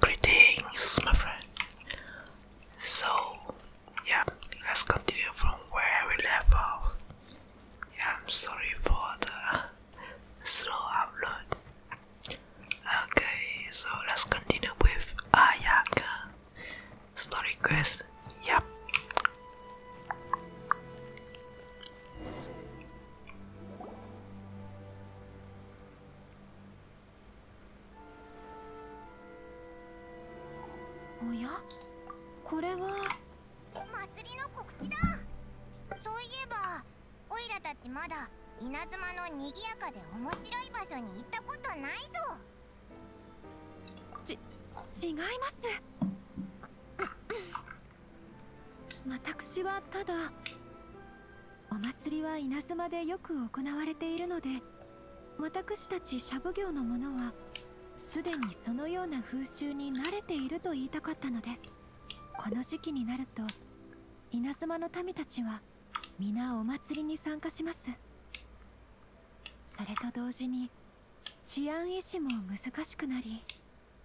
Greetings, my friend. So, yeah, let's continue from where we left off. I'm sorry for the slow upload. Okay, so let's continue with Ayaka. Story quest, yep. おやこれは祭りの告知だそういえばオイラたちまだ稲妻のにやかで面白い場所に行ったことないぞ違います私はただお祭りは稲妻でよく行われているので私たちシャブ業の者はすでにそのような風習に慣れていると言いたかったのですこの時期になると稲妻の民たちは皆お祭りに参加しますそれと同時に治安維持も難しくなり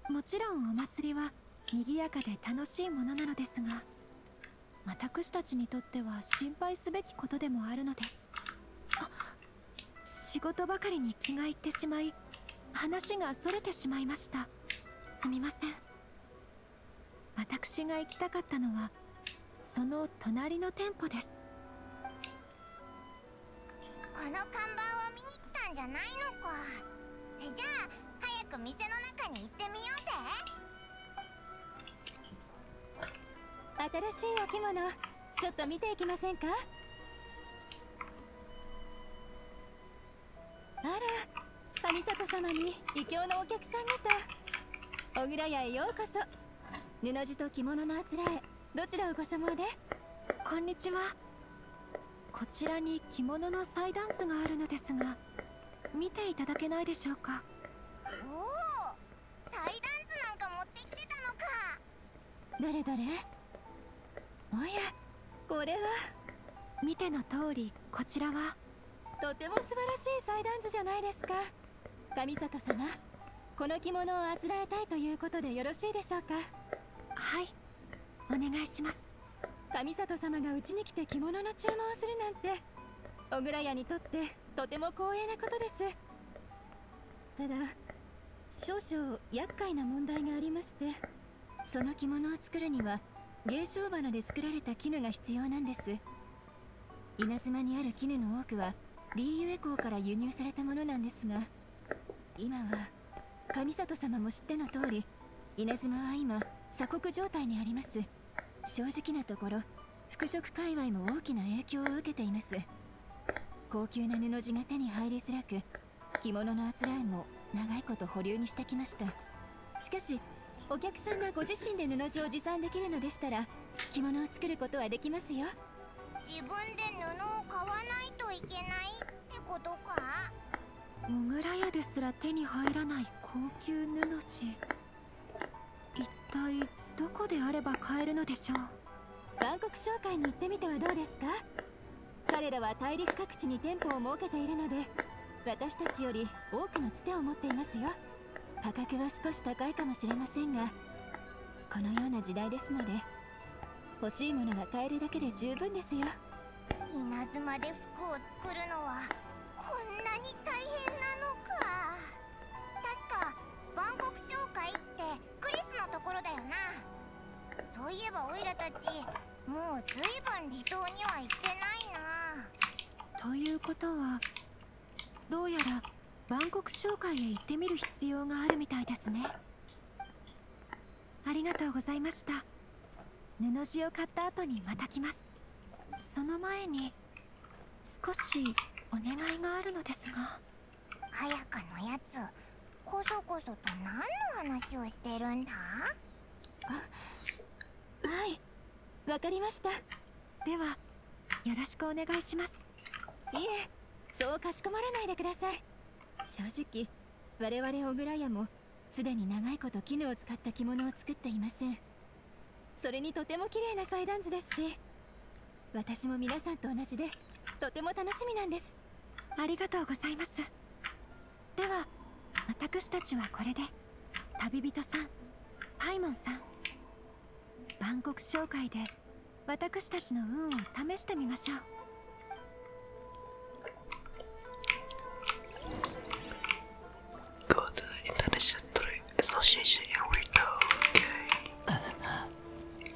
もちろんお祭りは賑やかで楽しいものなのですが私たちにとっては心配すべきことでもあるのです仕事ばかりに気がいってしまい話がそれてしまいましたすみません私が行きたかったのはその隣の店舗ですこの看板を見に来たんじゃないのかじゃあ早く店の中に行てみようぜ新しいお着物ちょっと見ていきませんかあら神里様に異教のお客さんと小倉屋へようこそ布地と着物のあつらえどちらをご所望でこんにちはこちらに着物の祭壇図があるのですが見ていただけないでしょうかおお祭壇図なんか持ってきてたのかどれどれおやこれは見ての通りこちらはとても素晴らしい祭壇図じゃないですか神里様この着物をあつらえたいということでよろしいでしょうかはいお願いします神里様がうちに来て着物の注文をするなんて小倉屋にとってとても光栄なことですただ少々厄介な問題がありましてその着物を作るには芸商花で作られた絹が必要なんです稲妻にある絹の多くはリーユエ港から輸入されたものなんですが今は上里様も知っての通り稲妻は今鎖国状態にあります正直なところ服飾界隈も大きな影響を受けています高級な布地が手に入りづらく着物のあつらえも長いこと保留にしてきましたしかしお客さんがご自身で布地を持参できるのでしたら着物を作ることはできますよ自分で布を買わないといけないってことかモグラ屋ですら手に入らない高級布地一体どこであれば買えるのでしょう韓国商会に行ってみてはどうですか彼らは大陸各地に店舗を設けているので私たちより多くのつてを持っていますよ価格は少し高いかもしれませんがこのような時代ですので欲しいものが買えるだけで十分ですよ稲妻で服を作るのはこんなに大変なのか確か万国町会ってクリスのところだよなといえばオイラたちもうずいぶん離島には行ってないなということはどうやら万国商会へ行ってみる必要があるみたいですねありがとうございました布地を買った後にまた来ますその前に少しお願いがあるのですが早かのやつこそこそと何の話をしてるんだあはいわかりましたではよろしくお願いしますいえそうかしこまらないでください正直我々小倉屋もすでに長いこと絹を使った着物を作っていませんそれにとても綺麗な祭壇図ですし私も皆さんと同じでとても楽しみなんですありがとうございますでは私たちはこれで旅人さんパイモンさん万国コク商会で私たちの運を試してみましょう Go to the Indonesian Trade Association and we go. Okay.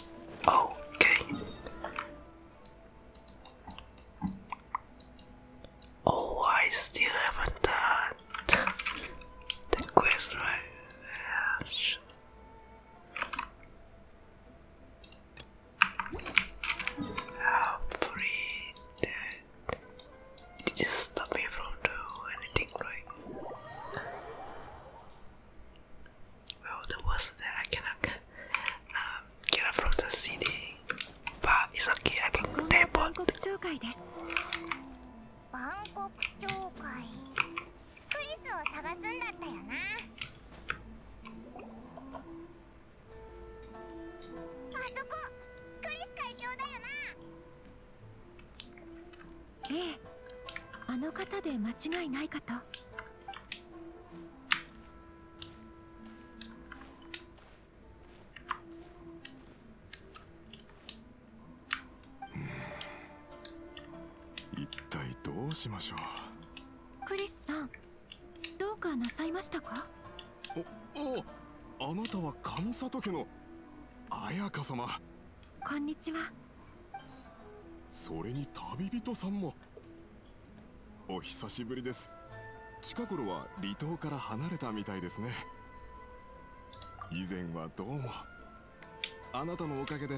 Okay. Oh, I still haven't done the quest, right? Yeah, sure. It just stop me from doing anything right. Well, the worst that I cannot um, get up from the city, but it's okay. I can teleport. 万国協会クリスを探すんだったよなあそこクリス会長だよなええあの方で間違いないかと一体どうしましょうクリスさんどうかなさいましたかおおあなたは上里家の綾香様こんにちはそれに旅人さんもお久しぶりです近頃は離島から離れたみたいですね以前はどうもあなたのおかげで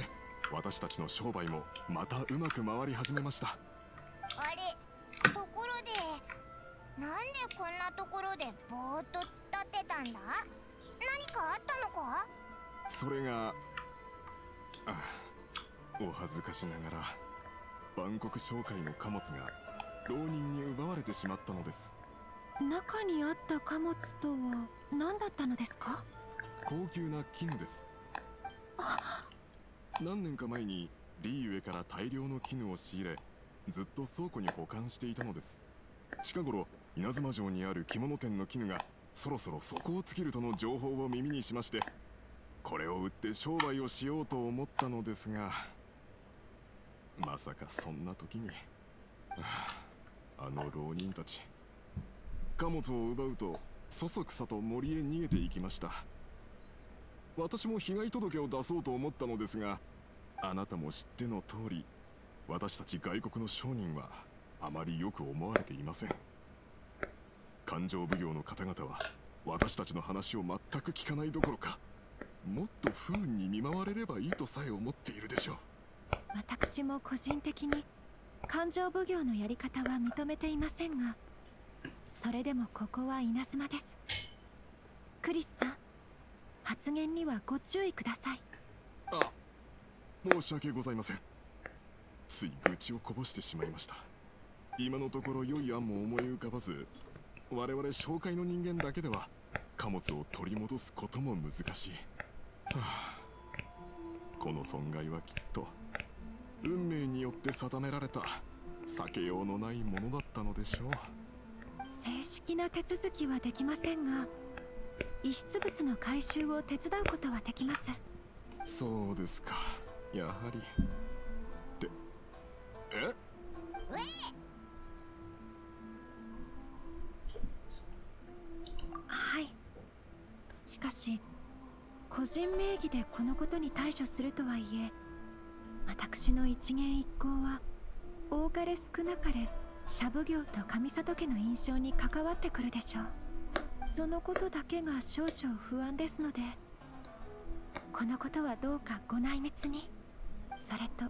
私たちの商売もまたうまく回り始めましたあれところでなんでこんなところでぼーっと突っ立ってたんだ何かあったのかそれがお恥ずかしながらバン商会の貨物が浪人に奪われてしまったのです中にあった貨物とは何だったのですか高級な絹です何年か前にリーウェから大量の絹を仕入れずっと倉庫に保管していたのです近頃稲妻城にある着物店の絹がそろそろ底を尽きるとの情報を耳にしましてこれを売って商売をしようと思ったのですがまさかそんな時に、あの浪人たち貨物を奪うとそそくさと森へ逃げていきました私も被害届を出そうと思ったのですがあなたも知っての通り私たち外国の商人はあまりよく思われていません勘定奉行の方々は私たちの話を全く聞かないどころかもっと不運に見舞われればいいとさえ思っているでしょう私も個人的に勘定奉行のやり方は認めていませんがそれでもここは稲妻ですクリスさん発言にはご注意くださいあ申し訳ございませんつい愚痴をこぼしてしまいました今のところ良い案も思い浮かばず我々紹介の人間だけでは貨物を取り戻すことも難しい、はあ、この損害はきっと運命によって定められた避けようのないものだったのでしょう正式な手続きはできませんが遺失物の回収を手伝うことはできますそうですかやはりでえはいしかし個人名義でこのことに対処するとはいえ私の一元一行は多かれ少なかれシャブ業と上里家の印象に関わってくるでしょうそのことだけが少々不安ですのでこのことはどうかご内密にそれと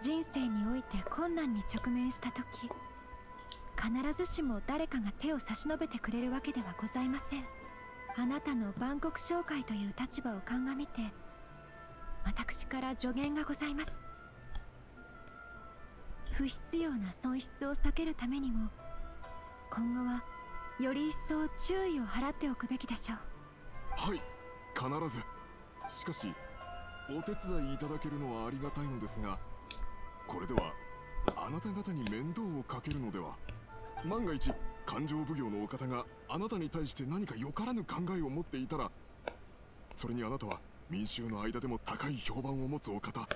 人生において困難に直面した時必ずしも誰かが手を差し伸べてくれるわけではございませんあなたの万国商会という立場を鑑みて私から助言がございます不必要な損失を避けるためにも今後はより一層注意を払っておくべきでしょうはい必ずしかしお手伝いいただけるのはありがたいのですがこれではあなた方に面倒をかけるのでは万が一勘定奉行のお方があなたに対して何かよからぬ考えを持っていたらそれにあなたは民衆の間でも高い評判を持つお方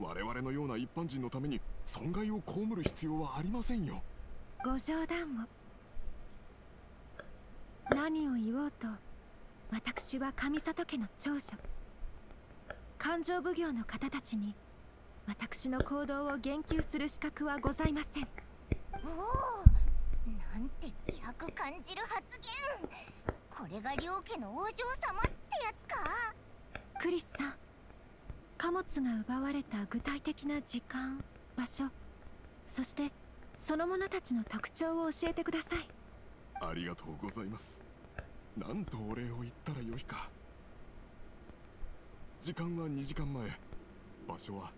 我々のような一般人のために損害を被る必要はありませんよご冗談を何を言おうと私は上里家の長所勘定奉行の方たちに私の行動を言及する資格はございませんおおなんて気迫感じる発言これが両家のお嬢様ってやつかクリスさん貨物が奪われた具体的な時間場所そしてその者たちの特徴を教えてくださいありがとうございますなんとお礼を言ったらよいか時間は2時間前場所は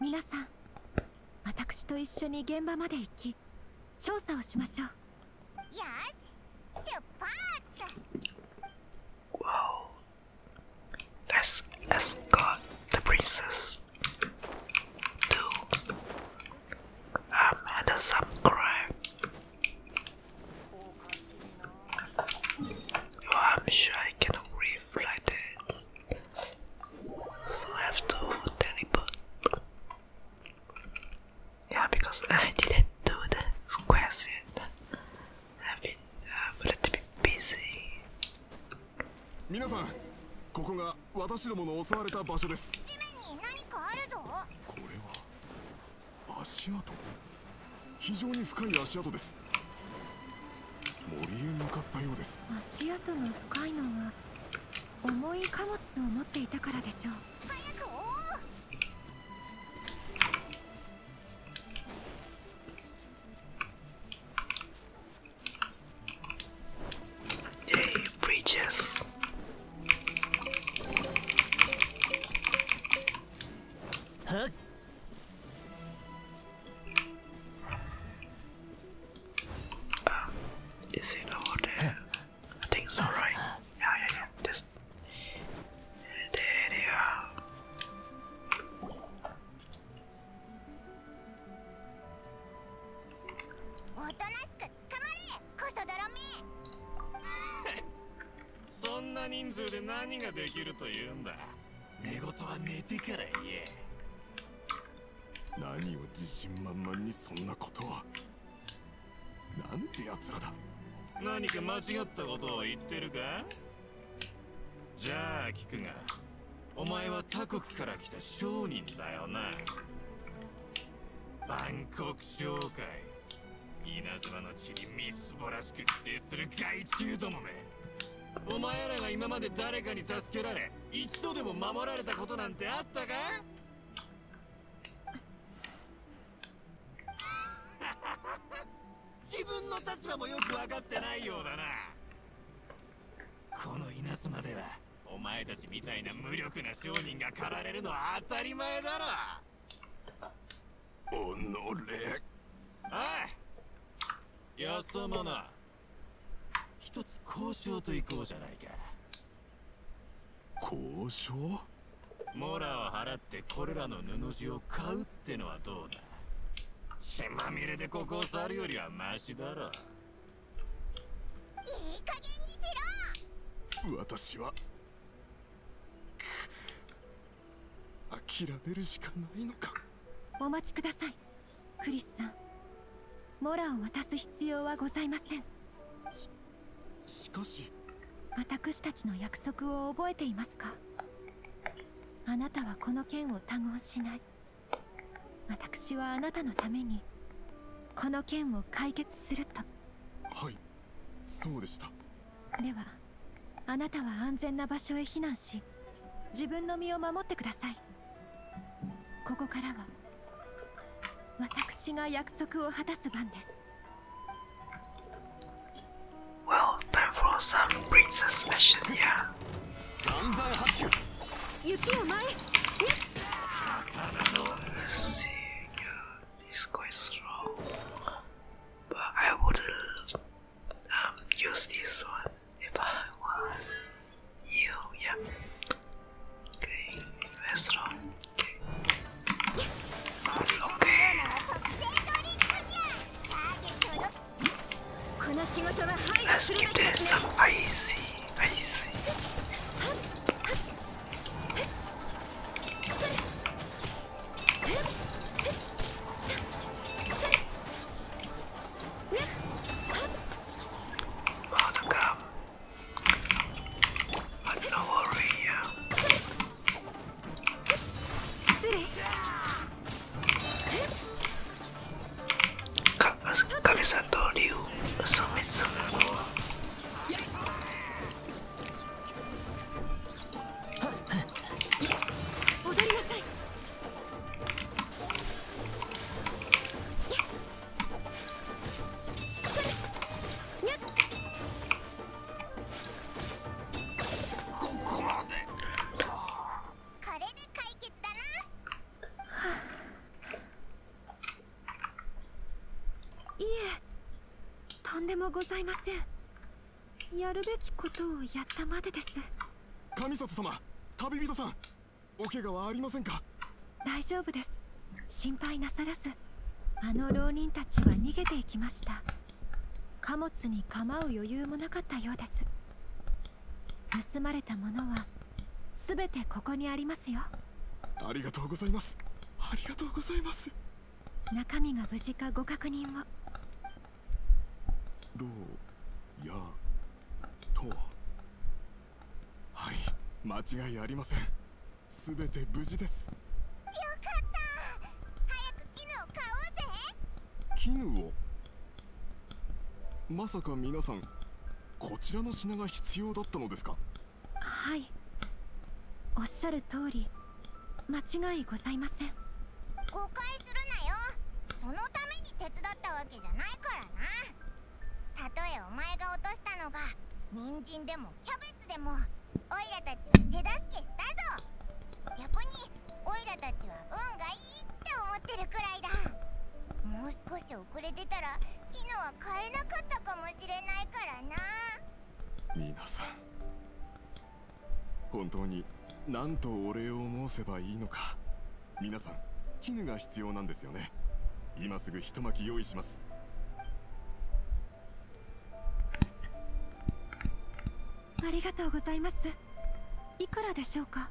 皆さん私と一緒に現場まで行き調査をしましょうよし出発 Wow Let's escort the princess to um, handle some crime Oh, I'm sure I cannot breathe like that. So I have to teleport. Yeah, because I didn't do the quest yet. I've been uh, a little bit busy. 皆さん、ここが私どもの襲われた場所です。地面に何かあるぞ。これは。足跡非常に深い足跡です森へ向かったようです足跡の深いのは重い貨物を持っていたからでしょう早く追おうは Um, is it all there? I think it's alright. Yeah, yeah, yeah. Just there they are. そんな人数で何ができると言うんだ寝言は寝てから言え何を自信満々にそんなことはなんて奴らだ何か間違ったことを言ってるかじゃあ聞くがお前は他国から来た商人だよなバンコク商会稲妻の地にみすぼらしく寄生する害虫どもめお前らが今まで誰かに助けられ一度でも守られたことなんてあったか 自分の立場もよく分かってないようだなこの稲妻ではお前たちみたいな無力な商人が駆られるのは当たり前だろおのれおい安物一つ交渉といこうじゃないか交渉モラを払ってこれらの布地を買うってのはどうだ血まみれでここを去るよりはマシだろいい加減にしろ私は諦めるしかないのかお待ちくださいクリスさんモラを渡す必要はございませんししかし私たちの約束を覚えていますかあなたはこの剣を他言しない私はあなたのためにこの剣を解決するとはいそうでしたではあなたは安全な場所へ避難し自分の身を守ってくださいここからは私が約束を果たす番です Well, time for some princess mission, yeah. 雪を前へ Let's see, yeah, this guy is strong. But I would um, use this one if I want you. Yeah. Okay. Restaurant. Okay. That's okay. この仕事は配慮するべきですね。Let's give them some icy, icy. Welcome. But no worry. Kamisato Ryu Sumitsu. ございませんやるべきことをやったまでです神里様旅人さんお怪我はありませんか大丈夫です心配なさらずあの浪人たちは逃げていきました貨物に構う余裕もなかったようです盗まれたものは全てここにありますよありがとうございますありがとうございます中身が無事かご確認を牢屋とははい間違いありません全て無事ですよかった早く絹を買おうぜ絹をまさか皆さんこちらの品が必要だったのですかはいおっしゃる通り間違いございません誤解するなよそのために手伝ったわけじゃないからなたとえお前が落としたのがニンジンでもキャベツでもオイラたちは手助けしたぞ逆にオイラたちは運がいいって思ってるくらいだもう少し遅れてたら昨日は買えなかったかもしれないからな皆さん本当になんとお礼を申せばいいのか皆さん絹が必要なんですよね今すぐ一巻用意しますありがとうございますいくらでしょうか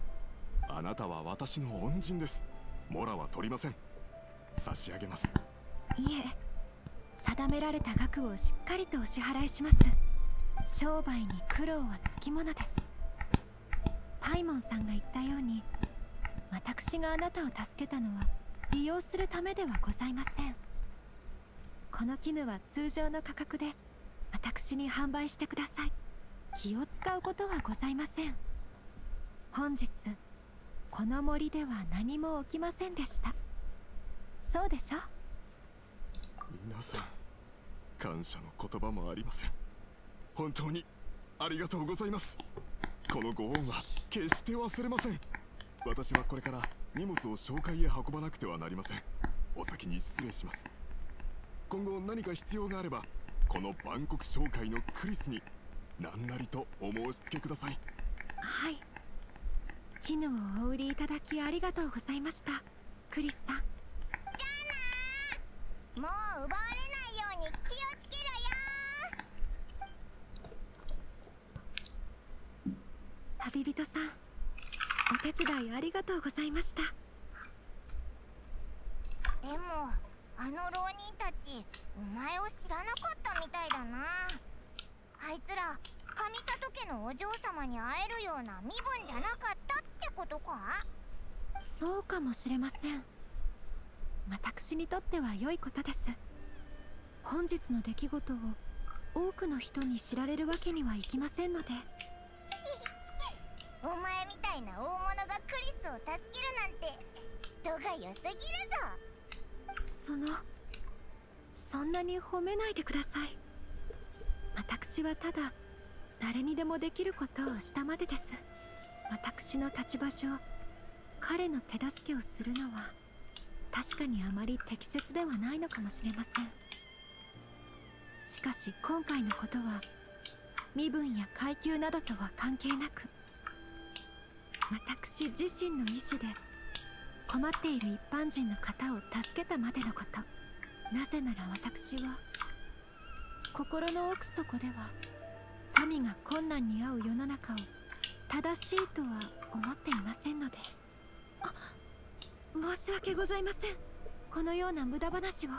あなたは私の恩人ですモラは取りません差し上げますいえ定められた額をしっかりとお支払いします商売に苦労はつきものですパイモンさんが言ったように私があなたを助けたのは利用するためではございませんこの絹は通常の価格で私に販売してください気を使うことはございません本日この森では何も起きませんでしたそうでしょ皆さん感謝の言葉もありません本当にありがとうございますこのご恩は決して忘れません私はこれから荷物を紹介へ運ばなくてはなりませんお先に失礼します今後何か必要があればこの万国コク商会のクリスに何なりとお申し付けくださいはい絹をお売りいただきありがとうございましたクリスさんじゃあなもう奪われないように気をつけろよ旅人さんお手伝いありがとうございましたでもあの浪人たちお前を知らなかったみたいだなあいつら神里家のお嬢様に会えるような身分じゃなかったってことかそうかもしれません私にとっては良いことです本日の出来事を多くの人に知られるわけにはいきませんのでお前みたいな大物がクリスを助けるなんて人が良すぎるぞそのそんなに褒めないでください私はただ誰にでもできることをしたまでです私の立場上彼の手助けをするのは確かにあまり適切ではないのかもしれませんしかし今回のことは身分や階級などとは関係なく私自身の意思で困っている一般人の方を助けたまでのことなぜなら私は心の奥底では民が困難に遭う世の中を正しいとは思っていませんのであ申し訳ございませんこのような無駄話を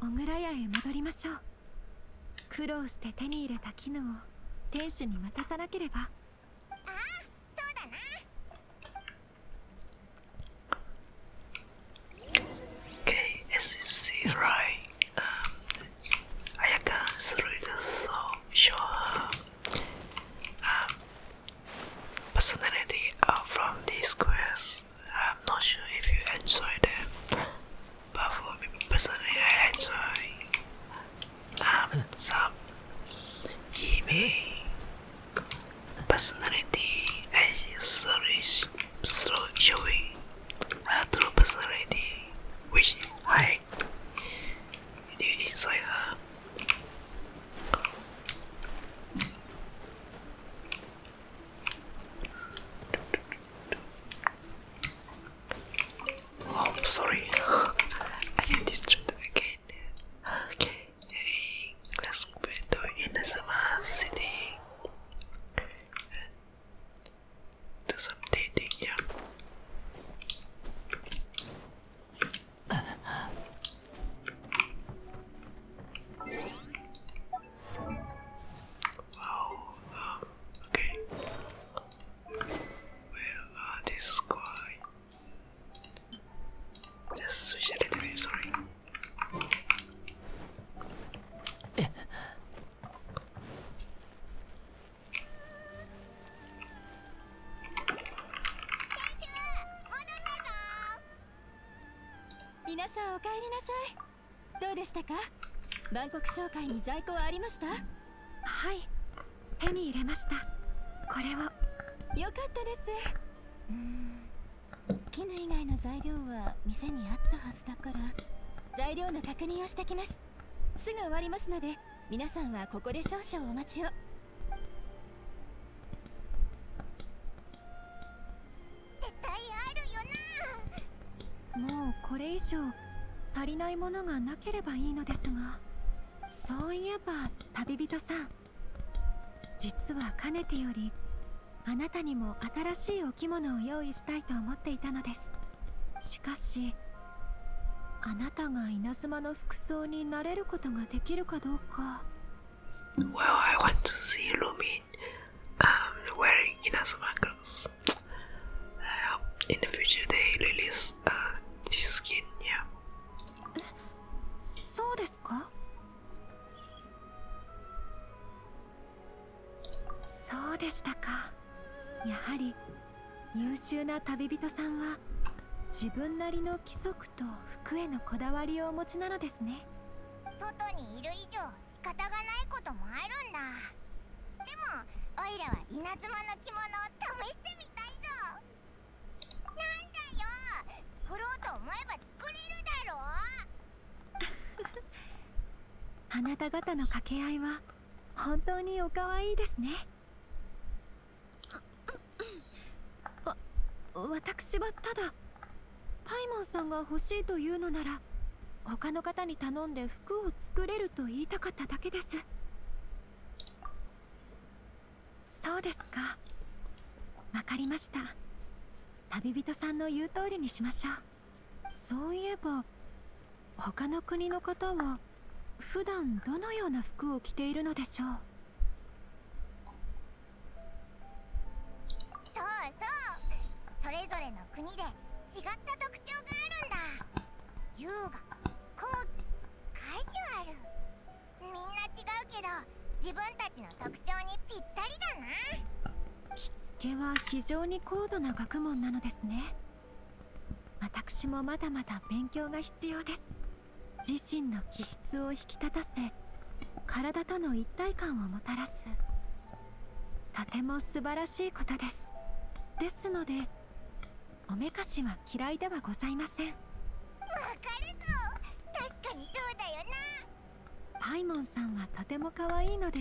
小倉屋へ戻りましょう苦労して手に入れた絹を店主に渡さなければああそうだな Okay, as you see, right, um, Ayaka is really so sure her um, personality out uh, from these quests. I'm not sure if you enjoy them, but for me personally, I enjoy um, some Yimi Personality and slowly, slowly showing her true personality, which hides inside her. Oh, I'm sorry. I can get distracted again. Okay. Let's put in the city and some dating, yeah. Wow, okay. Well, uh, this is Just switch it away, s o r r お帰りなさい。どうでしたかバンコク商会に在庫はありましたはい手に入れましたこれをよかったですうん絹以外の材料は店にあったはずだから材料の確認をしてきますすぐ終わりますので皆さんはここで少々お待ちを絶対あるよなもうこれ以上足りないものがなければいいのですがそういえば旅人さん実はかねてよりあなたにも新しいお着物を用意したいと思っていたのですしかしあなたが稲妻の服装になれることができるかどうか Well, I want to see Lumin um, wearing Inazuma clothes. I hope in the future they release uh, this skin, yeah. そうでですかそうでしたかやはり優秀な旅人さんは自分なりの規則と服へのこだわりをお持ちなのですね外にいる以上仕方がないこともあるんだでもオイラは稲妻の着物を試してみたいぞなんだよ作ろうと思えば作れるだろう あなた方の掛け合いは本当にお可愛いですねわ私はただパイモンさんが欲しいというのなら他の方に頼んで服を作れると言いたかっただけですそうですかわかりました旅人さんの言う通りにしましょうそういえば他の国の方は普段どのような服を着ているのでしょうそうそうそれぞれの国で違った特徴があるんだ優雅高貴カジュアルみんな違うけど自分たちの特徴にぴったりだな着付けは非常に高度な学問なのですね私もまだまだ勉強が必要です自身の気質を引き立たせ体との一体感をもたらすとても素晴らしいことですですのでおめかしは嫌いではございませんわかるぞ確かにそうだよなパイモンさんはとても可愛いので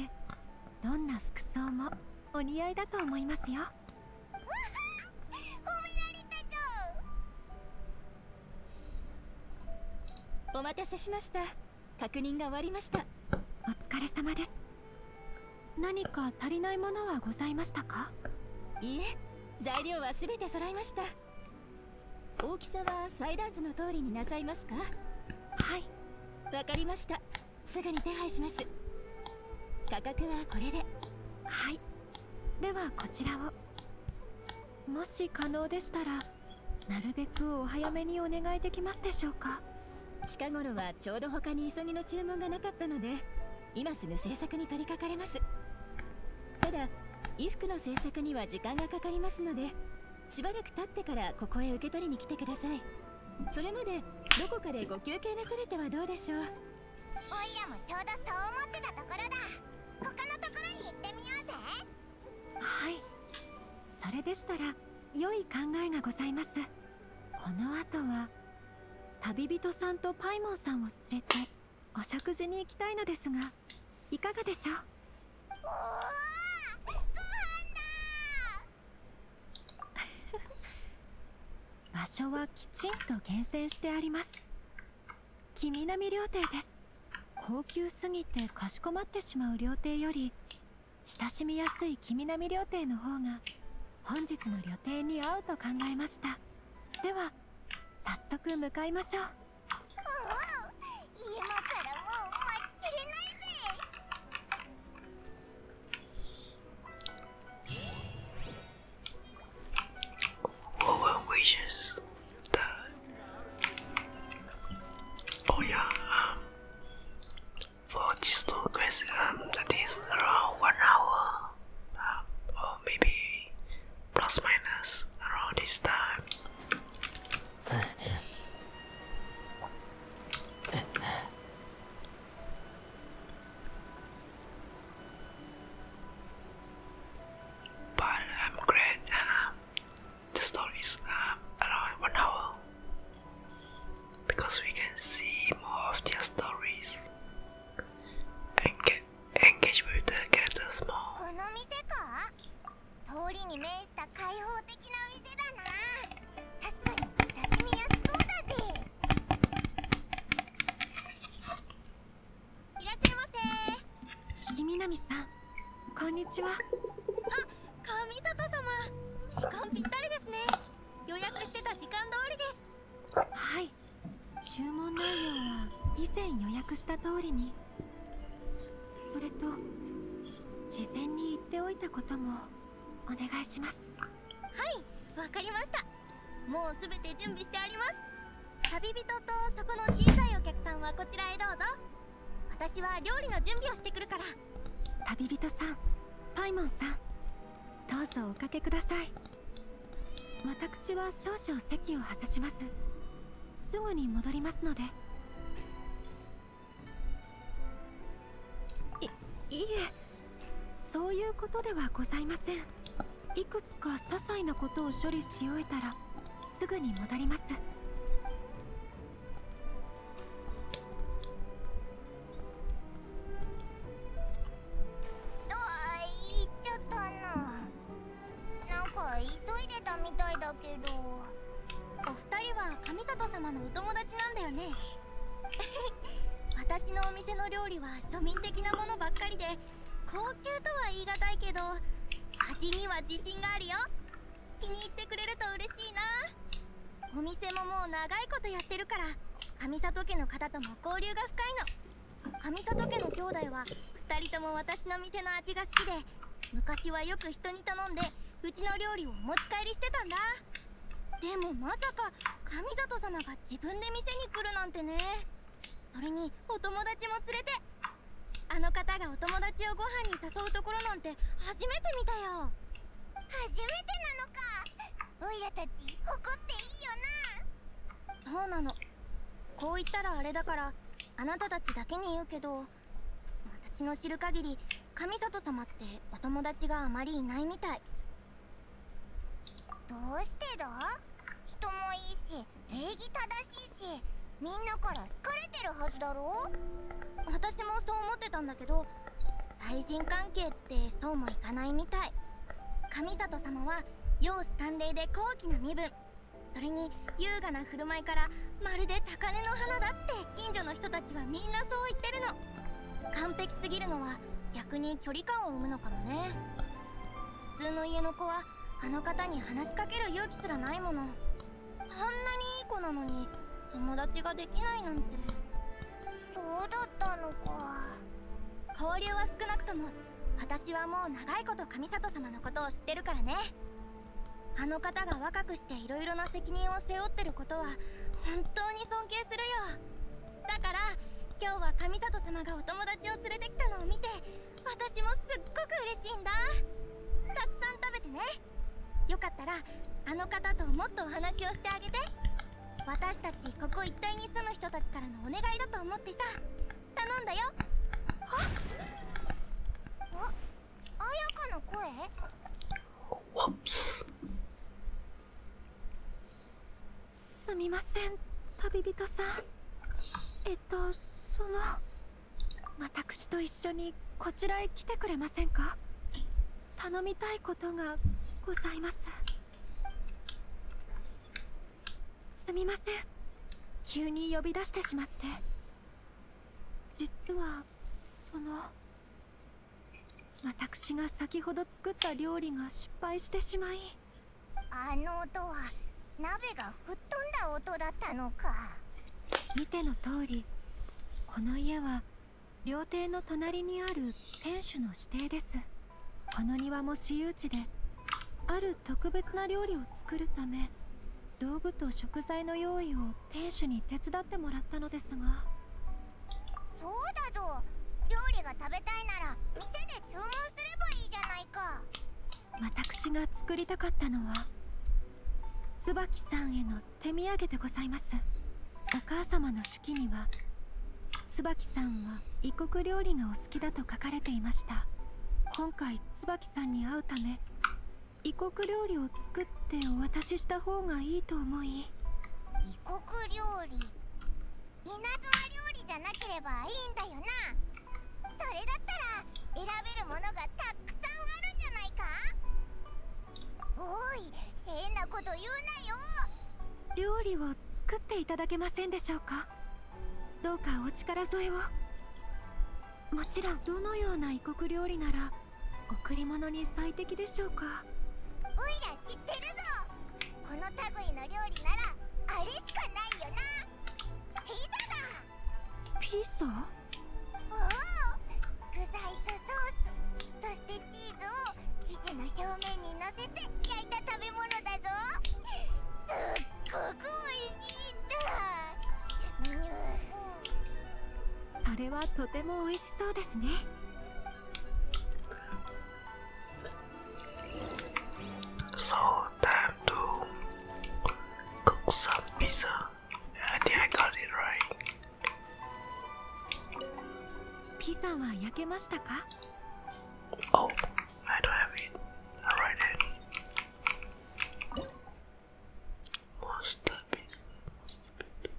どんな服装もお似合いだと思いますよ褒められたぞお待たせしました確認が終わりましたお疲れ様です何か足りないものはございましたかいいえ材料は全て揃いました大きさは裁断図の通りになさいますかはいわかりましたすぐに手配します価格はこれではいではこちらをもし可能でしたらなるべくお早めにお願いできますでしょうか近頃はちょうど他に急ぎの注文がなかったので今すぐ制作に取り掛かれますただ衣服の制作には時間がかかりますのでしばらく経ってからここへ受け取りに来てくださいそれまでどこかでご休憩なされてはどうでしょうおいらもちょうどそう思ってたところだ他のところに行ってみようぜはいそれでしたら良い考えがございますこの後は旅人さんとパイモンさんを連れてお食事に行きたいのですがいかがでしょうおーご飯だ場所はきちんと厳選してあります君並料亭です高級すぎてかしこまってしまう料亭より親しみやすい君並料亭の方が本日の旅亭に合うと考えましたでは早速向かいましょう Well, well wishes that Oh yeah, um for this little quest um that is around one hour um, or maybe plus minus around this time but I'm glad uh, the stories are uh, around one hour because we can see more of their stories and engage with the characters more. 通りに面した開放的なお店だな確かに親しみやすそうだぜいらっしゃいませひ南さんこんにちはあ神里様時間ぴったりですね予約してた時間通りですはい注文内容は以前予約した通りにそれと事前に言っておいたこともお願いしますはいわかりましたもう全て準備してあります旅人とそこの小さいお客さんはこちらへどうぞ私は料理の準備をしてくるから旅人さんパイモンさんどうぞおかけください私は少々席を外しますすぐに戻りますのでいいえそういうことではございませんいくつか些細なことを処理し終えたらすぐに戻りますあ行っちゃったななんか急いでたみたいだけどお二人は神里様のお友達なんだよね私のお店の料理は庶民的なものばっかりで高級とは言い難いけど味には自信があるよ気に入ってくれると嬉しいなお店ももう長いことやってるから上里家の方とも交流が深いの上里家の兄弟は2人とも私の店の味が好きで昔はよく人に頼んでうちの料理をお持ち帰りしてたんだでもまさか神里様が自分で店に来るなんてねそれにお友達も連れてあの方がお友達をご飯に誘うところなんて初めて見たよ初めてなのかおいらたち怒っていいよなそうなのこう言ったらあれだからあなたたちだけに言うけど私の知る限り神里様ってお友達があまりいないみたいどうしてだ人もいいし礼儀正しいしみんなから好かれてるはずだろ私もそう思ってたんだけど対人関係ってそうもいかないみたい神里様は容姿端麗で高貴な身分それに優雅な振る舞いからまるで高嶺の花だって近所の人たちはみんなそう言ってるの完璧すぎるのは逆に距離感を生むのかもね普通の家の子はあの方に話しかける勇気すらないものあんなにいい子なのに友達ができないなんてそうだったのか交流は少なくとも私はもう長いこと上里様のことを知ってるからねあの方が若くしていろいろな責任を背負ってることは本当に尊敬するよだから今日は神里様がお友達を連れてきたのを見て私もすっごく嬉しいんだたくさん食べてねよかったらあの方ともっとお話をしてあげて私たちここ一帯に住む人たちからのお願いだと思ってさ頼んだよあっの声ワンスすみません旅人さんえっとその私と一緒にこちらへ来てくれませんか頼みたいことがございますすみません急に呼び出してしまって実はその私が先ほど作った料理が失敗してしまいあの音は鍋が吹っ飛んだ音だったのか見ての通りこの家は料亭の隣にある店主の指定ですこの庭も私有地である特別な料理を作るため道具と食材の用意を店主に手伝ってもらったのですがそうだぞ料理が食べたいなら店で注文すればいいじゃないか私が作りたかったのは椿さんへの手土産でございますお母さまの手記には椿さんは異国料理がお好きだと書かれていました今回椿さんに会うため異国料理を作ってお渡しした方がいいと思い異国料理稲妻料理じゃなければいいんだよなそれだったら選べるものがたくさんあるんじゃないかおい変なこと言うなよ料理を作っていただけませんでしょうかどうかお力添えをもちろんどのような異国料理なら贈り物に最適でしょうかおいら知ってるぞこの類の料理ならあれしかないよなピザだピザおお具材とソースそしてチーズを生地の表面にのせて焼いた食べ物だぞすっごくおいしいんだそれはとても美味しそうですねそう time to cook some pizza I think I got it right ピザは焼けましたか Oh, I don't have it. Alright then. masterpiece, masterpiece.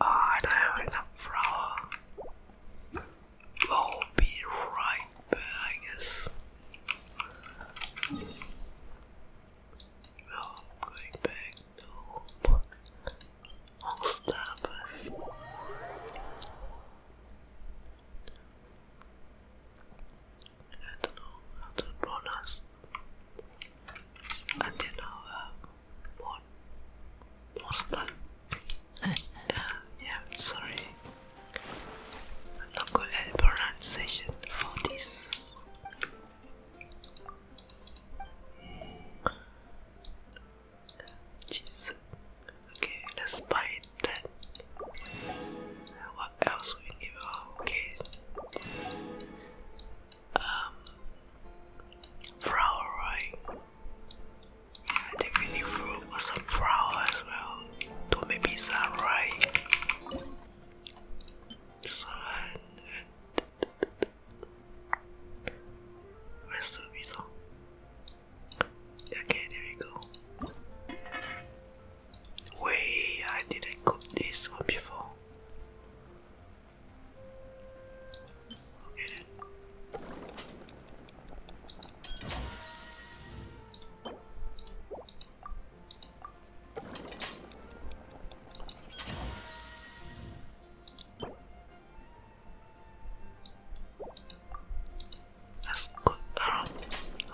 Oh, I don't have enough flour. I'll oh, be right back, I guess. Well, oh, I'm going back to Monsterbus. I don't know how to pronounce until now uh, mon monster uh, yeah sorry I'm not good at pronunciation for this Jeez. Mm. Okay, let's buy that. Uh, what else also um flower right I think we some flour as well to make pizza right so where's the pizza okay there we go Wait, I didn't cook this one before. Let's go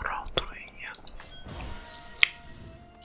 around,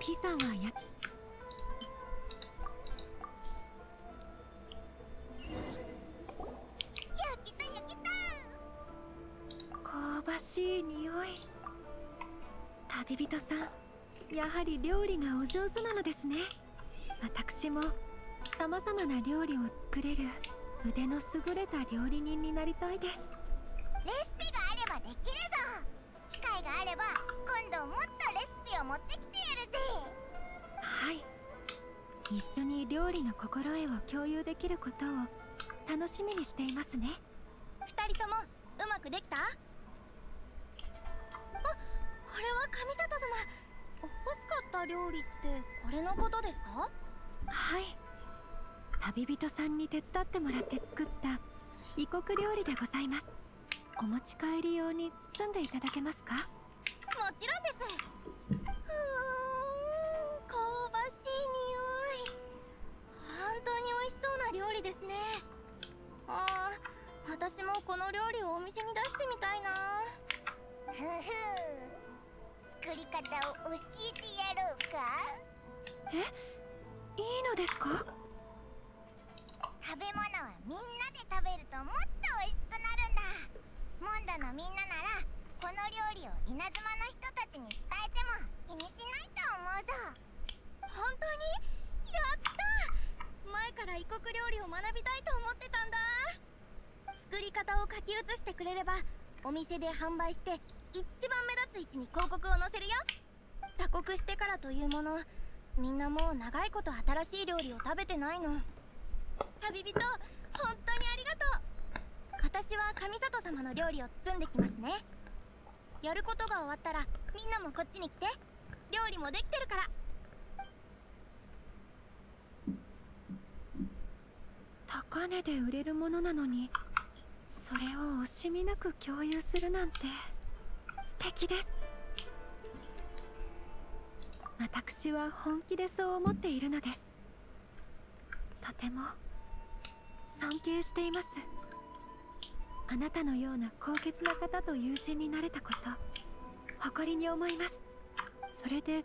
ピザはやしい匂い旅人さんやはり料理がお上手なのですね私もさまざまな料理を作れる腕の優れた料理人になりたいですレシピがあればできるぞ機会があれば今度もっとレシピを持ってきてやるぜはい一緒に料理の心得を共有できることを楽しみにしていますね2人ともうまくできたあこれは神里様欲しかった料理ってこれのことですかはい旅人さんに手伝ってもらって作った異国料理でございますお持ち帰り用に包んでいただけますかもちろんですふん香ばしい匂い本当に美味しそうな料理ですねああ私もこの料理をお店に出してみたいなふふん作り方を教えてやろうかえいいのですか食べ物はみんなで食べるともっと美味しくなるんだモンドのみんなならこの料理を稲妻の人たちに伝えても気にしないと思うぞ本当にやった前から異国料理を学びたいと思ってたんだ作り方を書き写してくれればお店で販売して一番目立つ位置に広告を載せるよ鎖国してからというものみんなもう長いこと新しい料理を食べてないの旅人本当にありがとう私は神里様の料理を包んできますねやることが終わったらみんなもこっちに来て料理もできてるから高値で売れるものなのにそれを惜しみなく共有するなんて素敵です私は本気でそう思っているのですとても尊敬していますあなたのような高潔な方と友人になれたこと誇りに思いますそれで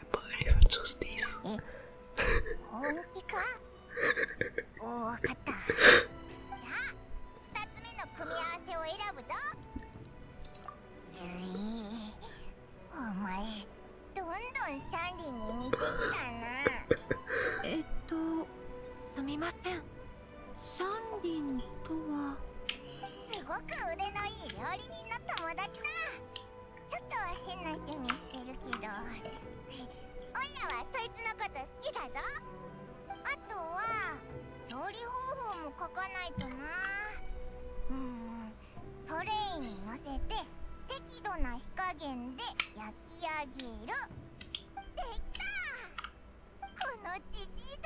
I believe I chose 本気かおわかった。じゃあ、2つ目の組み合わせを選ぶぞ。え、お前、どんどんシャンリーに似てきたな。えっと、すみません。シャンリンとはすごく腕のいい料理人の友達だ。ちょっと変な趣味してるけどオイラはそいつのこと好きだぞあとは調理方法も書かないとなうんトレイに乗せて適度な火加減で焼き上げるできたこの自信作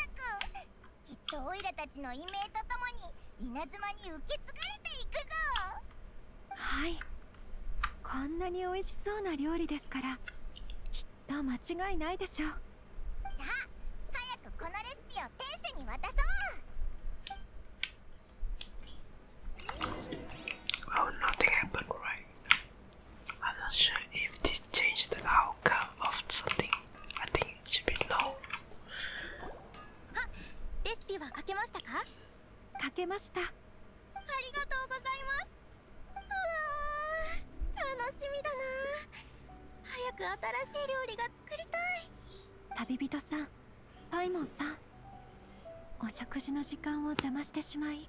きっとオイラたちのイメーとともに稲妻に受け継がれていくぞはいこんなに美味しそうな料理ですからきっと間違いないでしょうじゃあ早くこのレシピを店主に渡そう Well nothing happened right I'm not sure if this changed the outcome of something I think it should be no あレシピは書けましたか書けましたありがとうございますうわ楽しみだな早く新しい料理が作りたい旅人さんパイモンさんお食事の時間を邪魔してしまい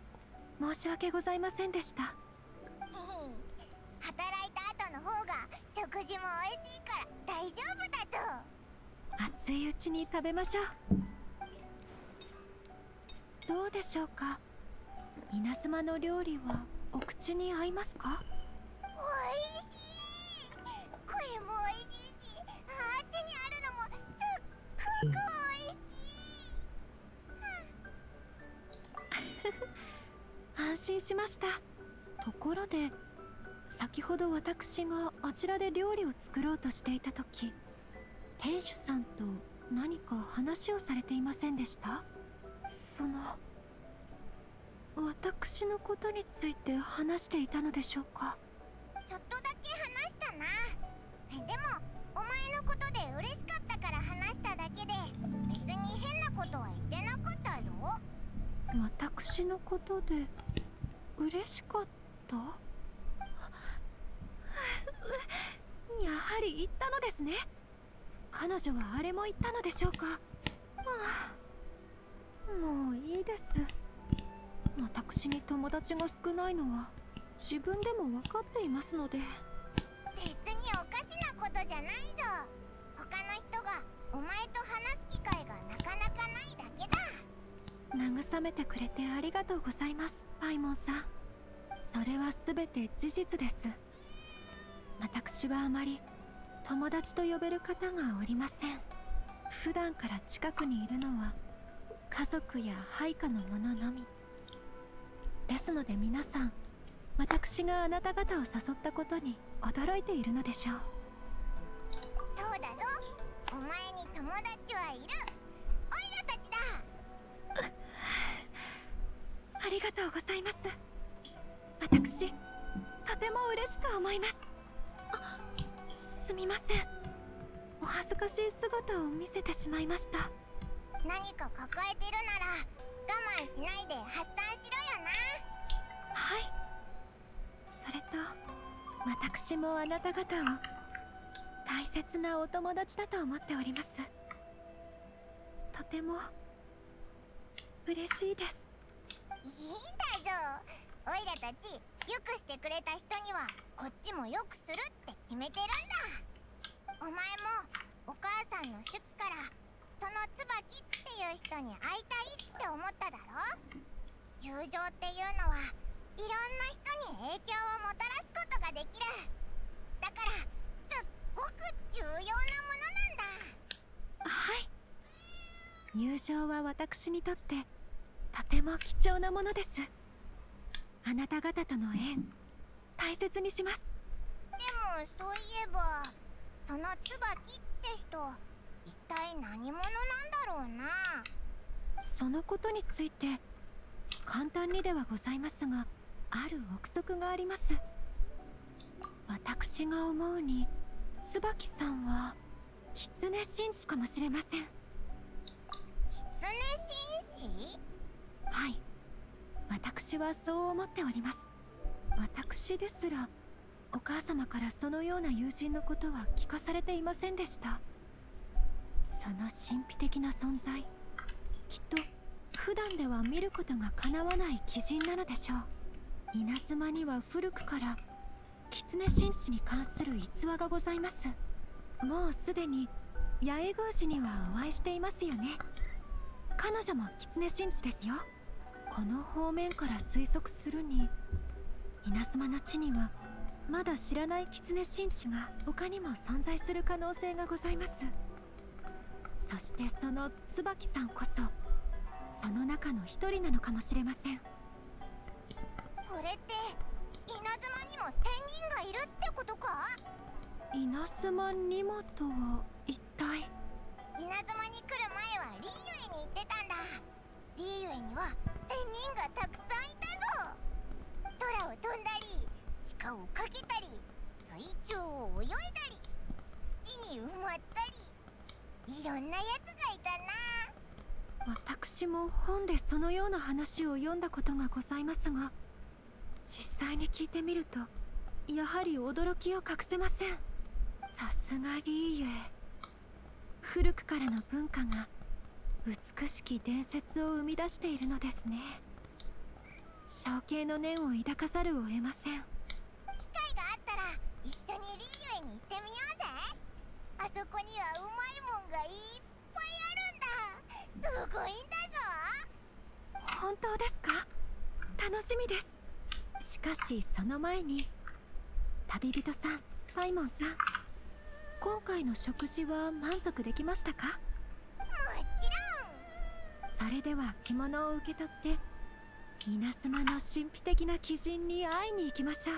申し訳ございませんでした働いた後の方が食事も美味しいから大丈夫だぞ熱いうちに食べましょうどうでしょうか皆様の料理はお口に合いますかおいしいこれもおいしいしあっちにあるのもすっごくおいしい 安心しましたところで先ほど私があちらで料理を作ろうとしていた時店主さんと何か話をされていませんでしたその私のことについて話していたのでしょうかちょっとだけ話したなでもお前のことで嬉しかったから話しただけで別に変なことは言ってなかったよ私のことで嬉しかった やはり言ったのですね彼女はあれも言ったのでしょうか、はあ、もういいです私に友達が少ないのは自分でも分かっていますので別におかしなことじゃないぞ他の人がお前と話す機会がなかなかないだけだ慰めてくれてありがとうございますパイモンさんそれは全て事実です私はあまり友達と呼べる方がおりません普段から近くにいるのは家族や配下の者のみですので皆さん私があなた方を誘ったことに驚いているのでしょうそうだぞお前に友達はいるおいらたちだありがとうございます私とても嬉しく思いますあすみませんお恥ずかしい姿を見せてしまいました何か抱えてるなら我慢しないで発散しろよなはいそれと私もあなた方を大切なお友達だと思っておりますとても嬉しいですいいんだぞおいらたちよくしてくれた人にはこっちもよくするって決めてるんだお前もお母さんの手記からその椿っていう人に会いたいって思っただろ友情っていうのはいろんな人に影響をもたらすことができるだからすっごく重要なものなんだはい友情は私にとってとても貴重なものですあなた方との縁大切にしますでもそういえばその椿って人一体何者なんだろうなそのことについて簡単にではございますがある憶測があります私が思うに椿さんは狐紳士かもしれません狐紳士はい私はそう思っております私ですらお母様からそのような友人のことは聞かされていませんでしたその神秘的な存在きっと普段では見ることがかなわない鬼人なのでしょう稲妻には古くから狐神師に関する逸話がございますもう既に八重宮司にはお会いしていますよね彼女も狐神師ですよこの方面から推測するに稲妻な地にはまだ知らない狐神子が他にも存在する可能性がございますそしてその椿さんこそその中の一人なのかもしれませんこれって稲妻にも仙人がいるってことか稲妻にもとは一体稲妻に来る前はリ林園に行ってたんだリえには仙人がたくさんいたぞ空を飛んだり鹿をかけたり水中を泳いだり土に埋まったりいろんなやつがいたな私も本でそのような話を読んだことがございますが実際に聞いてみるとやはり驚きを隠せませんさすがりーユ古くからの文化が美しき伝説を生み出しているのですね象形の念を抱かざるを得ません機会があったら一緒にリーユへに行ってみようぜあそこにはうまいもんがいっぱいあるんだすごいんだぞ本当ですか楽しみですしかしその前に旅人さんパイモンさん今回の食事は満足できましたかもちろんそれでは着物を受け取って稲妻の神秘的な鬼人に会いに行きましょう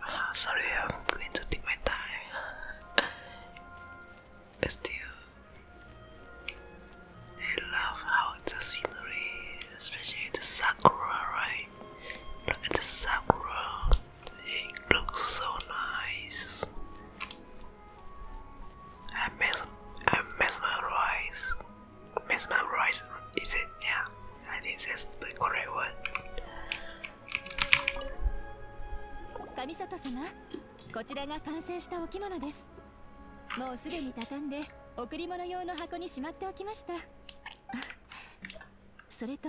Sorry, I'm going to take my time. Still, I love how the scenery, especially the sakura, right? Look at the sakura, it looks so nice. I miss, I miss my rice. Miss my rice, is it? Yeah, I think that's the correct one. 上里様こちらが完成したお着物ですもうすでに畳んで贈り物用の箱にしまっておきました それと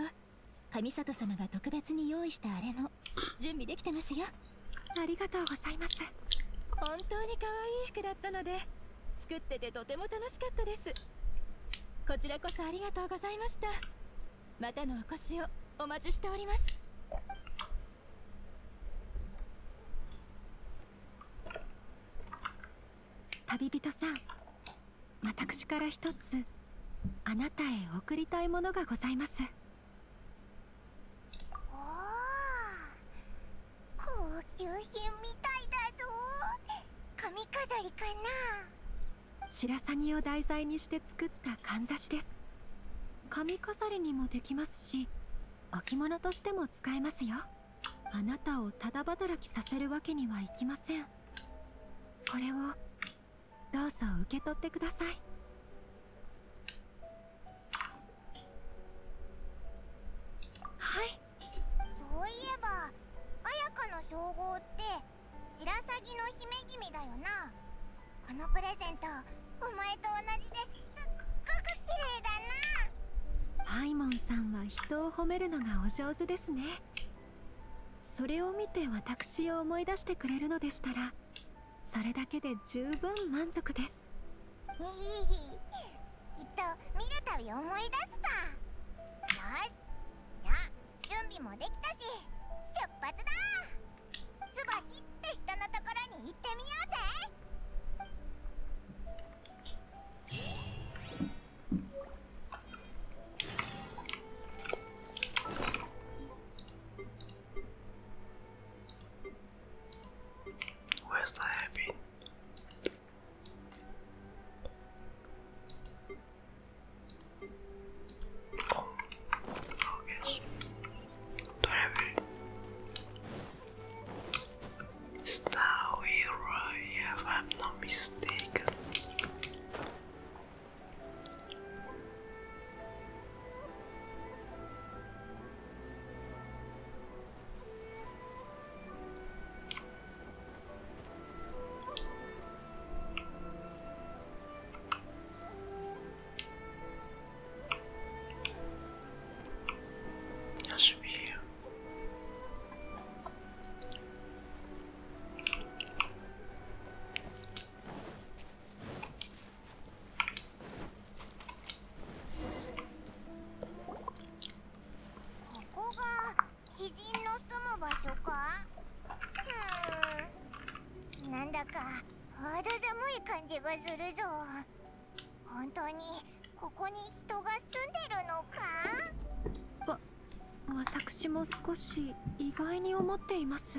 上里様が特別に用意したあれも準備できてますよありがとうございます本当に可愛い服だったので作っててとても楽しかったですこちらこそありがとうございましたまたのお越しをお待ちしております旅人さん私から一つあなたへ送りたいものがございますおお高級品みたいだぞ髪飾りかな白鷺を題材にして作ったかんざしです髪飾りにもできますし置物としても使えますよあなたをただ働きさせるわけにはいきませんこれをどうぞ受け取ってくださいはいそういえば綾香の称号って白鷺の姫君だよなこのプレゼントお前と同じですっごく綺麗だなパイモンさんは人を褒めるのがお上手ですねそれを見て私を思い出してくれるのでしたらそれだけで十分満足ですきっと見るたび思い出すさよしじゃあ準備もできたし出発だ椿って人のところに行ってみようぜ Oh, focus. do have if I'm not mistaken. That should be here. なんだか肌寒い感じがするぞ本当にここに人が住んでるのかわ私も少し意外に思っています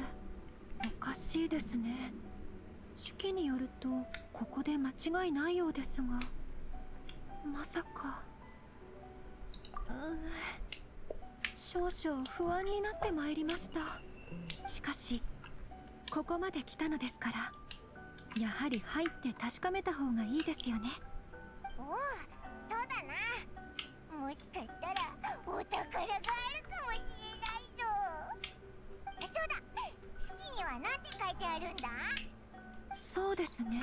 おかしいですね手記によるとここで間違いないようですがまさかうん少々不安になってまいりましたしかしここまで来たのですからやはり入って確かめた方がいいですよねおおそうだなもしかしたらお宝があるかもしれないぞそうだ式には何て書いてあるんだそうですね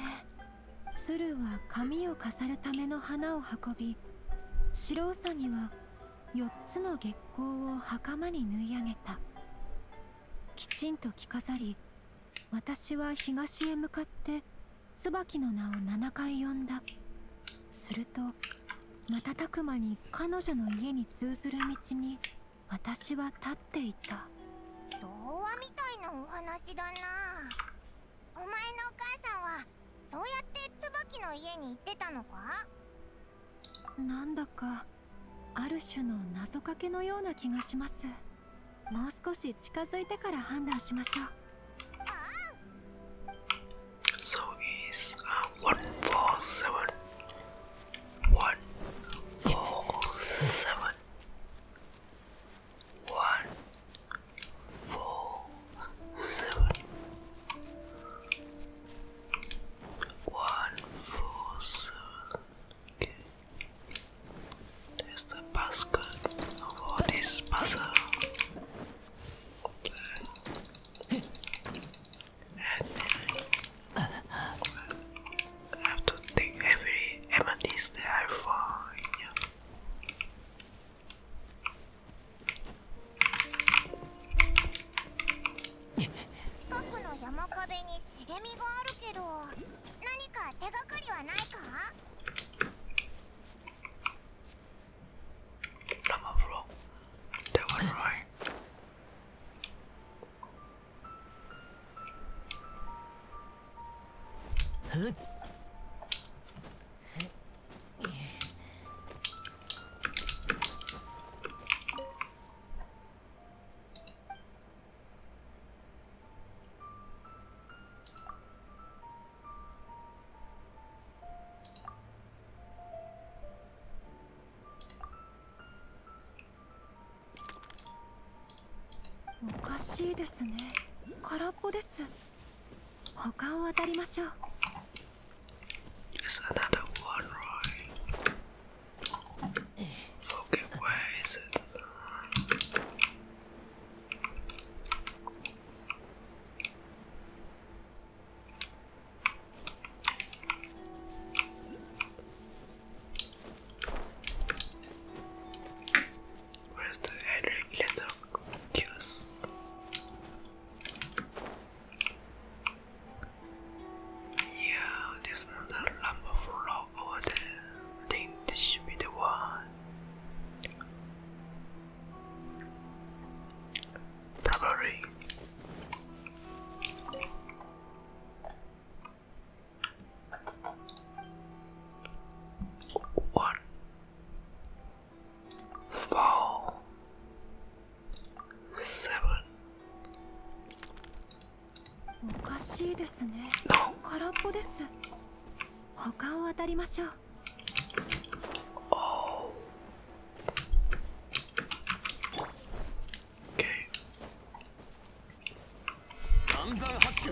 鶴は髪を飾るための花を運び白うさぎは4つの月光を袴に縫い上げたきちんと着飾り私は東へ向かって椿の名を7回呼んだすると瞬く間に彼女の家に通ずる道に私は立っていた童話みたいなお話だなお前のお母さんはそうやって椿の家に行ってたのかなんだかある種の謎かけのような気がしますもう少し近づいてから判断しましょう seven, one, four, seven. Okay, there's the basket of all this puzzle. I have to take every amethyst that I find. 近くの山壁に茂みがあるけど何か手がかりはないかえおかしいですね空っぽです There's another one, right? Okay, where is it? Where's the Henry letter yeah, there's another lump of rock over there. Then this should be the one. Probably. One. Four. seven. おかしいですね。空っぽです。他を当たりましょう。Oh. Okay. 暗算発球。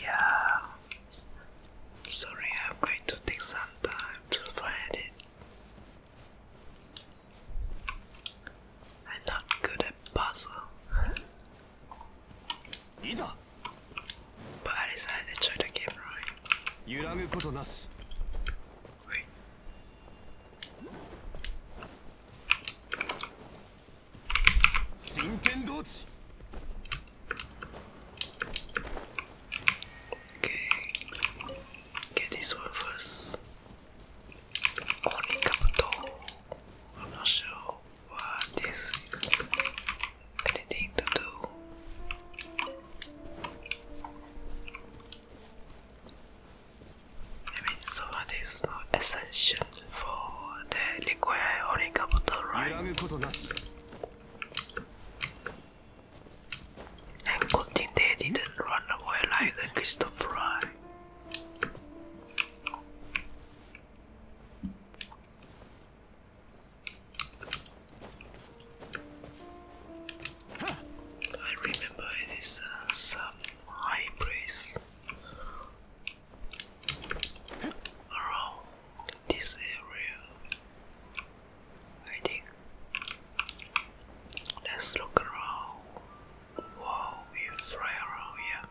Yeah. Sorry, I'm going to take some time to find I'm not good at puzzle. But I decided to try the game right. Wait get this one first. Only capital. i not sure what this Anything to do. I mean, so what is this is not essential for the liquid Orica bottle, right? And good thing they didn't run away like the crystal fry. I remember it is uh, some high breeze around this area. I think. Let's look around. Wow, we fly around here.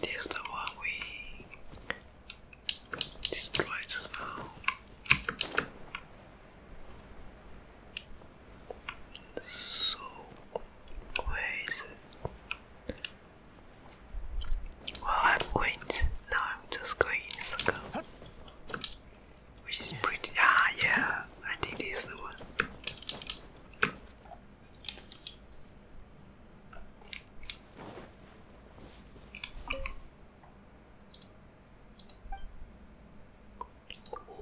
This is the one we destroyed now. So where is well, I'm going now I'm just going in a circle. Which is pretty, ah yeah, I think this is the one.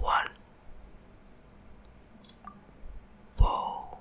One ball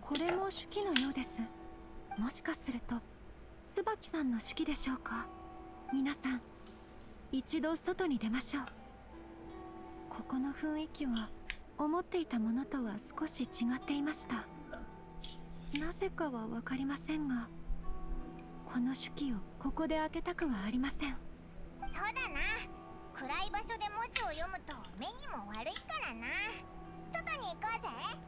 これも手記のようですもしかすると椿さんの手記でしょうか皆さん一度外に出ましょうここの雰囲気は思っていたものとは少し違っていましたなぜかは分かりませんがこの手記をここで開けたくはありませんそうだな暗い場所で文字を読むと目にも悪いからな外に行こうぜ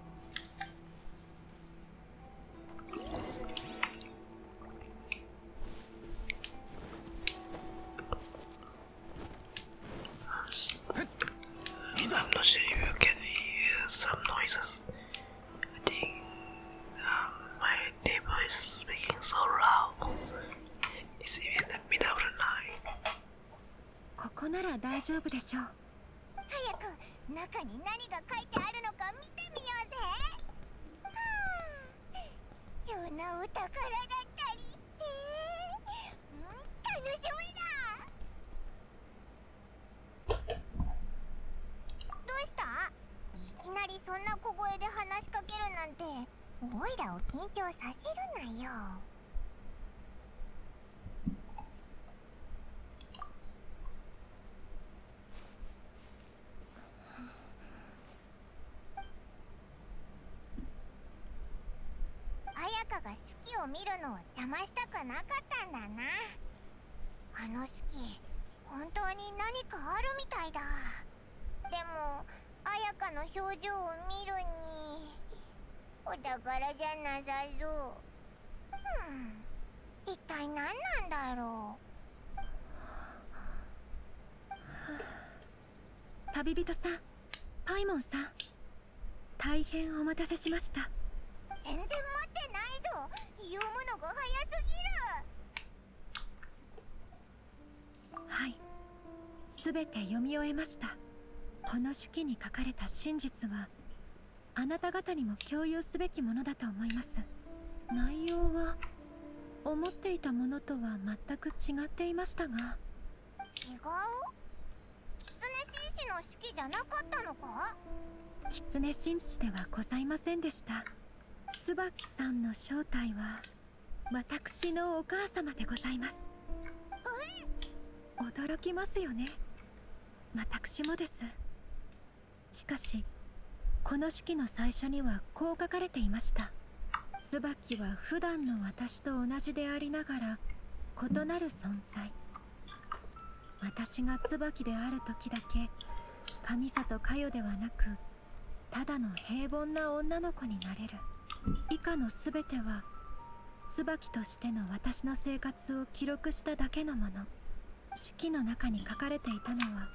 I'm not sure if you can hear some noises. I think um, my neighbor is speaking so loud. It's even the middle of the night. ここなら大丈夫でしょう。早く中に何が書いてあるのか見てみようぜはあ貴重なお宝だったりして、うん、楽しみだどうしたいきなりそんな小声で話しかけるなんておいらを緊張させるなよあ香が手記を見るのを邪魔したくなかったんだなあの手記本当に何かあるみたいだでも綾香の表情を見るにお宝じゃなさそううん一体何なんだろう旅人さんパイモンさん大変お待たせしました全然待ってないぞ読むのが早すぎるはい全て読み終えましたこの手記に書かれた真実はあなた方にも共有すべきものだと思います内容は思っていたものとは全く違っていましたが違う狐紳士の式じゃなかったのか狐紳士ではございませんでした椿さんの正体は私のお母様でございます驚きますよね私もですしかしこの式の最初にはこう書かれていました椿は普段の私と同じでありながら異なる存在私が椿である時だけ神里佳代ではなくただの平凡な女の子になれる以下の全ては椿としての私の生活活を記録しただけのもの手記の中に書かれていたのは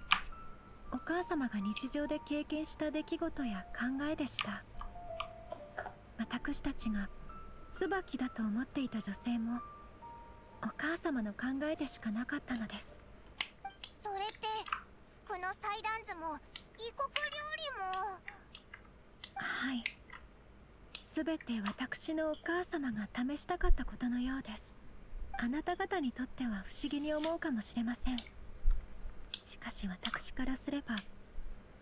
お母様が日常で経験した出来事や考えでした私たちが椿だと思っていた女性もお母様の考えでしかなかったのですそれってこの祭壇図も異国料理もはい全て私のお母様が試したかったことのようですあなた方にとっては不思議に思うかもしれませんしかし私からすれば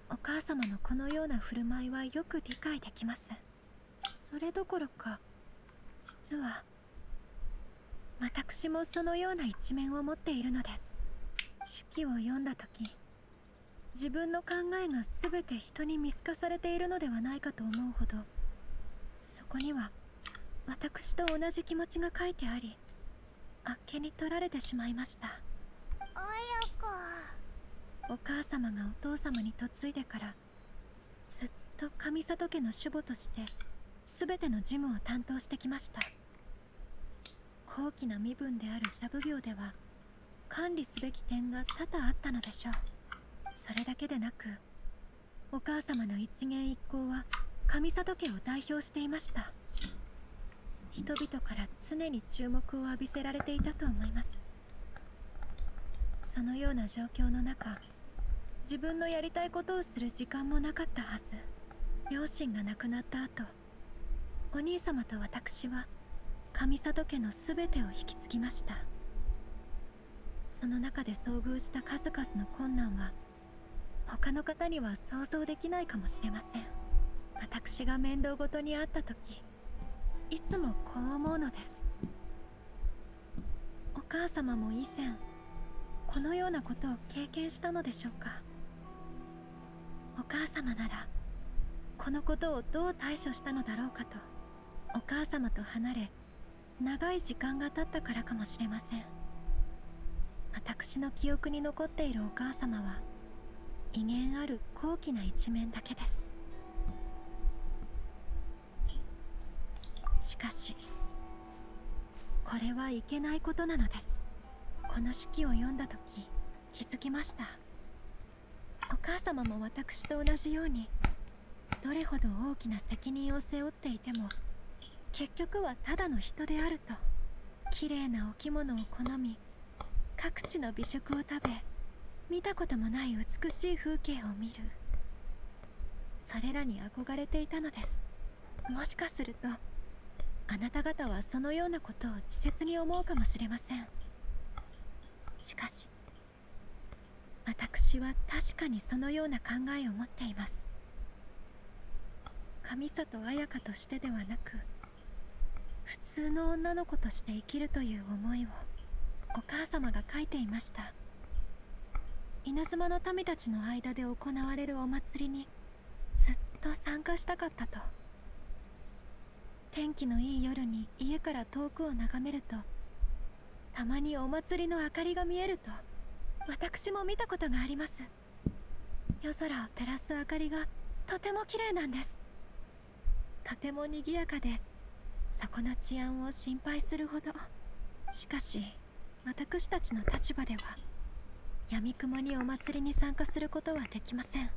お母様のこのような振る舞いはよく理解できますそれどころか実は私もそのような一面を持っているのです手記を読んだ時自分の考えが全て人に見透かされているのではないかと思うほどそこには私と同じ気持ちが書いてありあっけに取られてしまいました綾子お母様がお父様に嫁いでからずっと上里家の守護として全ての事務を担当してきました高貴な身分であるシャブ業では管理すべき点が多々あったのでしょうそれだけでなくお母様の一元一行は上里家を代表していました人々から常に注目を浴びせられていたと思いますそのような状況の中自分のやりたいことをする時間もなかったはず両親が亡くなった後お兄様と私は上里家の全てを引き継ぎましたその中で遭遇した数々の困難は他の方には想像できないかもしれません私が面倒ごとにあった時いつもこう思うのですお母様も以前このようなことを経験したのでしょうかお母様ならこのことをどう対処したのだろうかとお母様と離れ長い時間が経ったからかもしれません私の記憶に残っているお母様は威厳ある高貴な一面だけですしかしこれはいけないことなのですこの手記を読んだ時気づきましたお母様も私と同じようにどれほど大きな責任を背負っていても結局はただの人であると綺麗なお着物を好み各地の美食を食べ見たこともない美しい風景を見るそれらに憧れていたのですもしかするとあなた方はそのようなことを稚拙に思うかもしれませんしかし私は確かにそのような考えを持っています上里綾香としてではなく普通の女の子として生きるという思いをお母様が書いていました稲妻の民たちの間で行われるお祭りにずっと参加したかったと天気のいい夜に家から遠くを眺めるとたまにお祭りの明かりが見えると私も見たことがあります夜空を照らす明かりがとてもきれいなんですとても賑やかでそこの治安を心配するほどしかし私たちの立場ではやみくもにお祭りに参加することはできません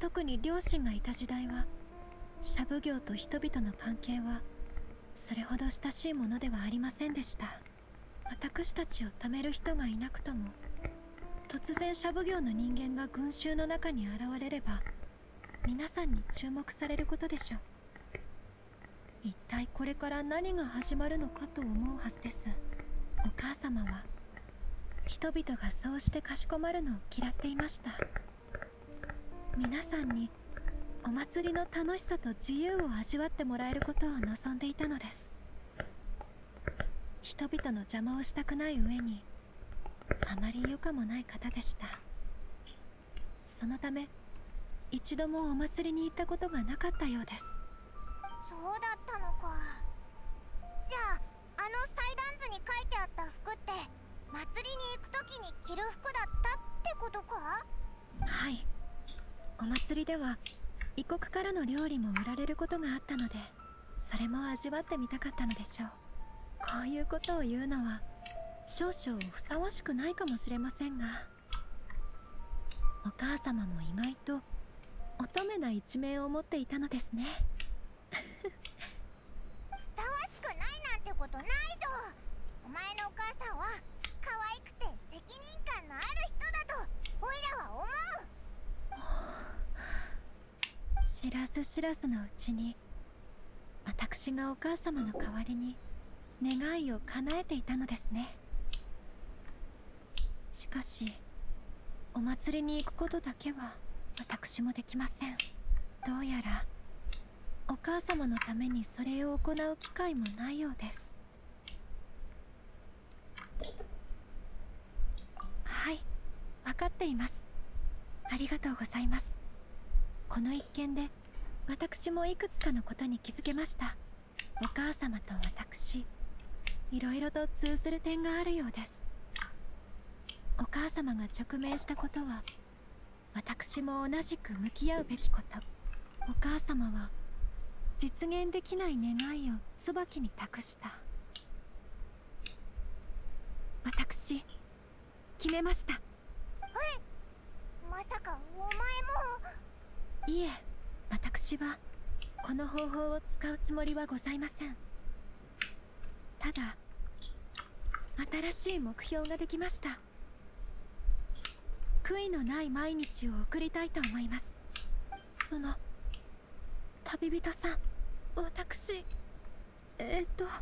特に両親がいた時代はシャブ業と人々の関係はそれほど親しいものではありませんでした私たちを貯める人がいなくとも突然シャブ業の人間が群衆の中に現れれば皆さんに注目されることでしょう一体これから何が始まるのかと思うはずですお母様は人々がそうしてかしこまるのを嫌っていました皆さんにお祭りの楽しさと自由を味わってもらえることを望んでいたのです人々の邪魔をしたくない上にあまり余暇もない方でしたそのため一度もお祭りに行ったことがなかったようですそうだったのかじゃああの祭壇図に書いてあった服って祭りに行く時に着る服だったってことかはいお祭りでは異国からの料理も売られることがあったのでそれも味わってみたかったのでしょうこういうことを言うのは少々ふさわしくないかもしれませんがお母様も意外と乙女な一面を持っていたのですねふさわしくないなんてことないぞお前のお母さんは可愛くて責任感のある人だとオイラは思う知らず知らずのうちに私がお母様の代わりに願いを叶えていたのですねしかしお祭りに行くことだけは私もできませんどうやらお母様のためにそれを行う機会もないようですはい分かっていますありがとうございますこの一件で私もいくつかのことに気づけましたお母様と私いろいろと通ずる点があるようですお母様が直面したことは私も同じく向き合うべきことお母様は実現できない願いを椿に託した私決めましたえまさかお前もいえ私はこの方法を使うつもりはございませんただ新しい目標ができました悔いのない毎日を送りたいと思いますその旅人さん私えっ、と落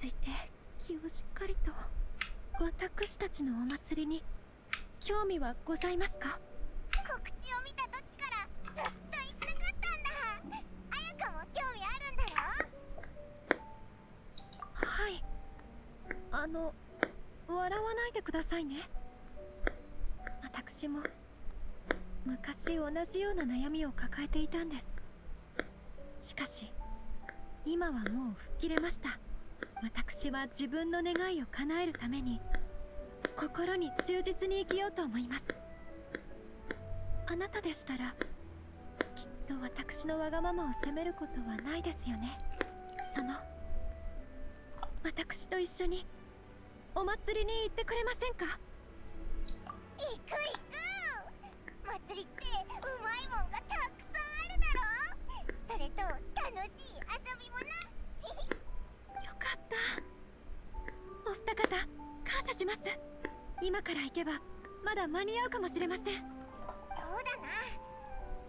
ち着いて気をしっかりと私たちのお祭りに興味はございますか告知を見た時からずっと行きたかったんだ綾香も興味あるんだろはいあの笑わないでくださいね私も昔同じような悩みを抱えていたんですしかし今はもう吹っ切れました私は自分の願いを叶えるために心に忠実に生きようと思いますあなたでしたらきっと私のわがままを責めることはないですよねその私と一緒にお祭りに行ってくれませんか行く行く祭りってうまいもんがたくさんあるだろそれと楽しい遊びもな よかったお二方感謝します今から行けばまだ間に合うかもしれませんそうだな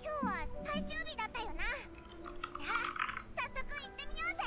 今日は最終日だったよなじゃあ早速行ってみようぜ